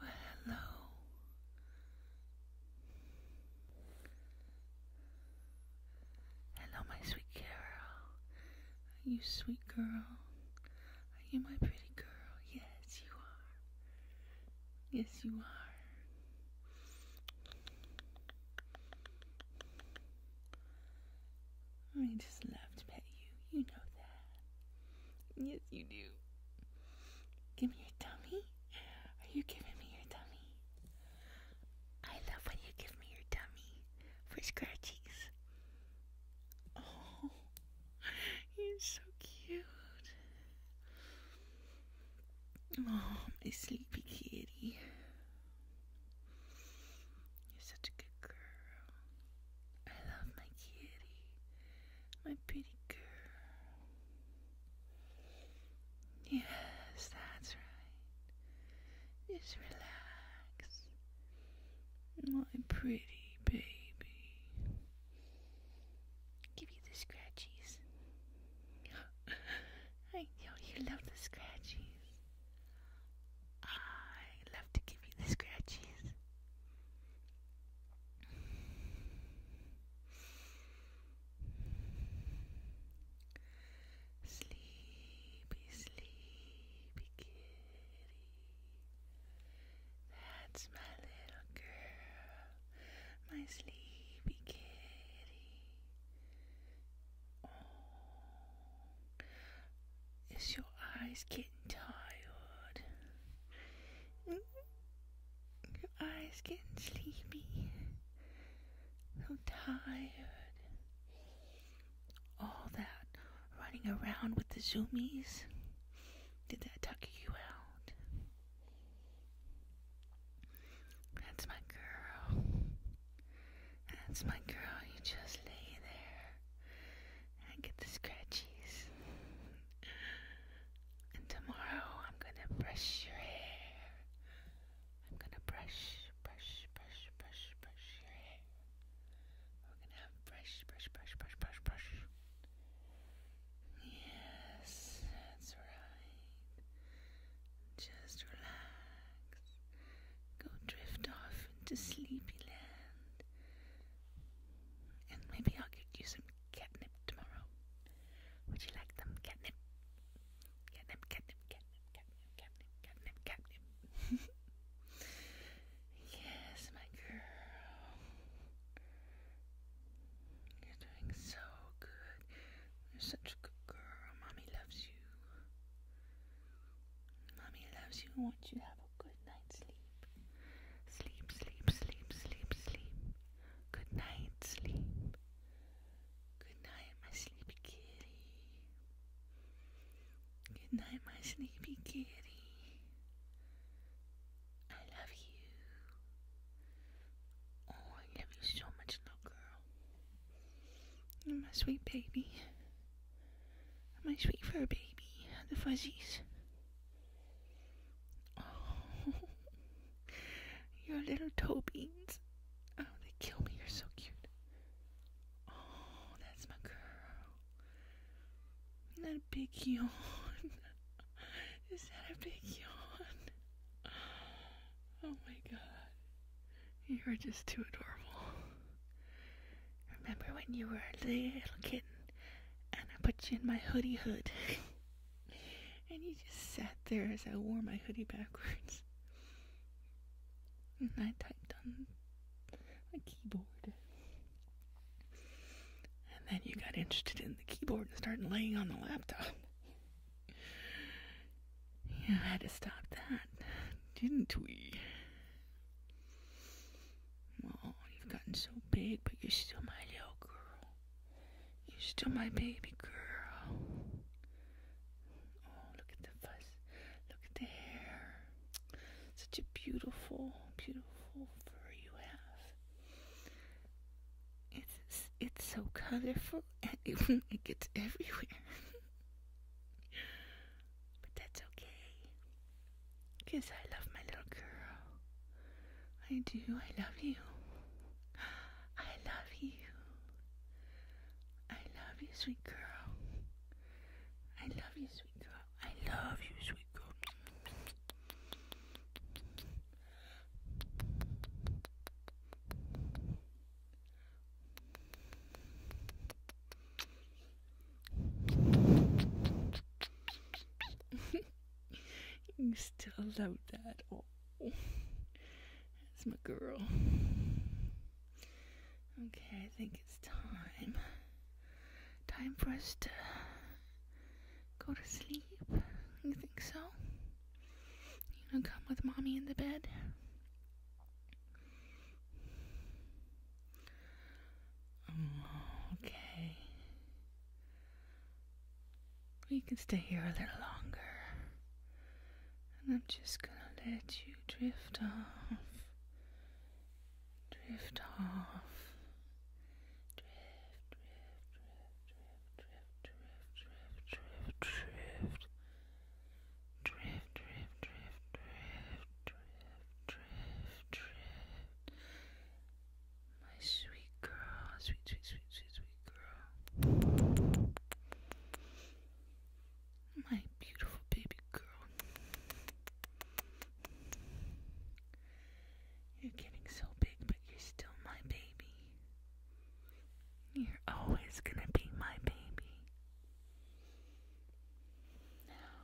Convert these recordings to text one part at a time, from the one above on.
Well, hello. Hello, my sweet girl. Are you sweet girl? Are you my pretty girl? Yes, you are. Yes, you are. I just love to pet you. You know that. Yes, you do. Give me your tummy. Are you giving me your tummy? I love when you give me your tummy for scratchies. Oh, you're so cute. Oh, my sleepy kitty. You're such a good girl. I love my kitty, my pretty girl. Yes, that's right. Just relax, my pretty baby. Give you the scratchies. I know you love the scratchies. I love to give you the scratches. Sleepy, sleepy kitty. That's my little girl, my sleepy kitty. Oh, is your eyes getting tired? Your eyes getting sleepy? So tired. All that running around with the zoomies, did that tuck you out? That's my girl. That's my girl. You just lay there and get the scratchies. And tomorrow I'm gonna brush your hair. I'm gonna brush, brush, brush, brush, brush your hair. We're gonna have brush, brush, brush, brush, brush, brush. Yes, that's right. Just relax. Go drift off into sleepy land. And maybe I could use some catnip tomorrow. Would you like some Catnip? Catnip, catnip, catnip, catnip, catnip, catnip, catnip. yes, my girl. You're doing so good. You're such a good girl. Mommy loves you. Mummy loves you and wants you to have a good night's sleep. Sleep, sleep, sleep, sleep, sleep. Good night, sleep. Good night, my sleepy kitty. Good night, my sleepy kitty. I love you. Oh, I love you so much, little girl. You're my sweet baby. Am I sweet for a baby? The fuzzies. Oh, your little toe beans. Oh, they kill me. You're so cute. Oh, that's my girl. That big yawn. Is that a big yawn? Oh my god. You're just too adorable. Remember when you were a little kitten and I put you in my hoodie hood? and you just sat there as I wore my hoodie backwards. And I typed on my keyboard. And then you got interested in the keyboard and started laying on the laptop. You I had to stop that, didn't we? Oh, you've gotten so big, but you're still my little girl. You're still my baby girl. Oh, look at the fuzz. Look at the hair. Such a beautiful, beautiful fur you have. It's it's so colorful and it, it gets everywhere. But that's okay. Because I love my little girl. I do. I love you. I love you. I love you, sweet girl. I love you, sweet girl. I love you, sweet girl. you still love that. Oh, it's my girl. Okay, I think it's time. Time for us to go to sleep. You think so? You gonna come with mommy in the bed? Um, okay. We can stay here a little longer. And I'm just gonna let you drift off. Drift off. Drift, drift, drift, drift, drift, drift, drift, drift, drift. Drift, drift, drift, drift, drift, drift, drift. My sweet girl, sweet, sweet, sweet, sweet, sweet girl. My beautiful baby girl. You're getting so big, but you're still my baby. You're always gonna be my baby. Now,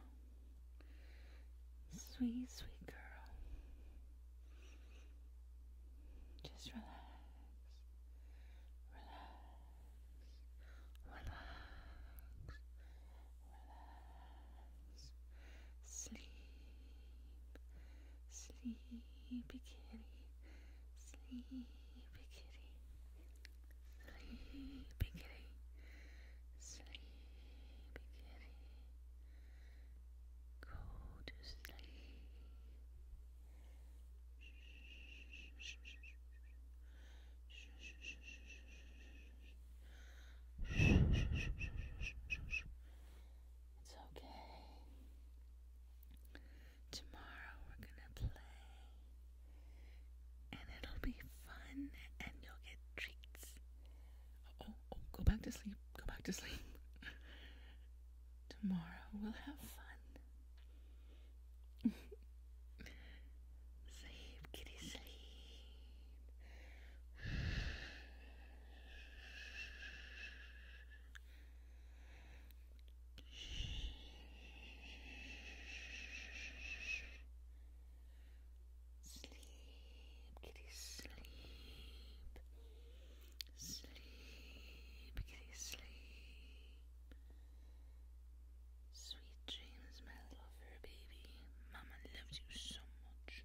sweet, sweet girl, just relax, relax, relax, relax, sleep, sleepy kitty, sleepy kitty. Sleepy kitty. Sleepy kitty. Go to sleep. It's okay. Tomorrow we're gonna play, and it'll be fun, and you'll get treats. Oh, oh go back to sleep. Go back to sleep. Tomorrow we'll have fun. sleep, kitty, sleep. Sleep, kitty, sleep. Sleep, kitty, sleep. Sweet dreams, my lover, baby. Mama loves you so much.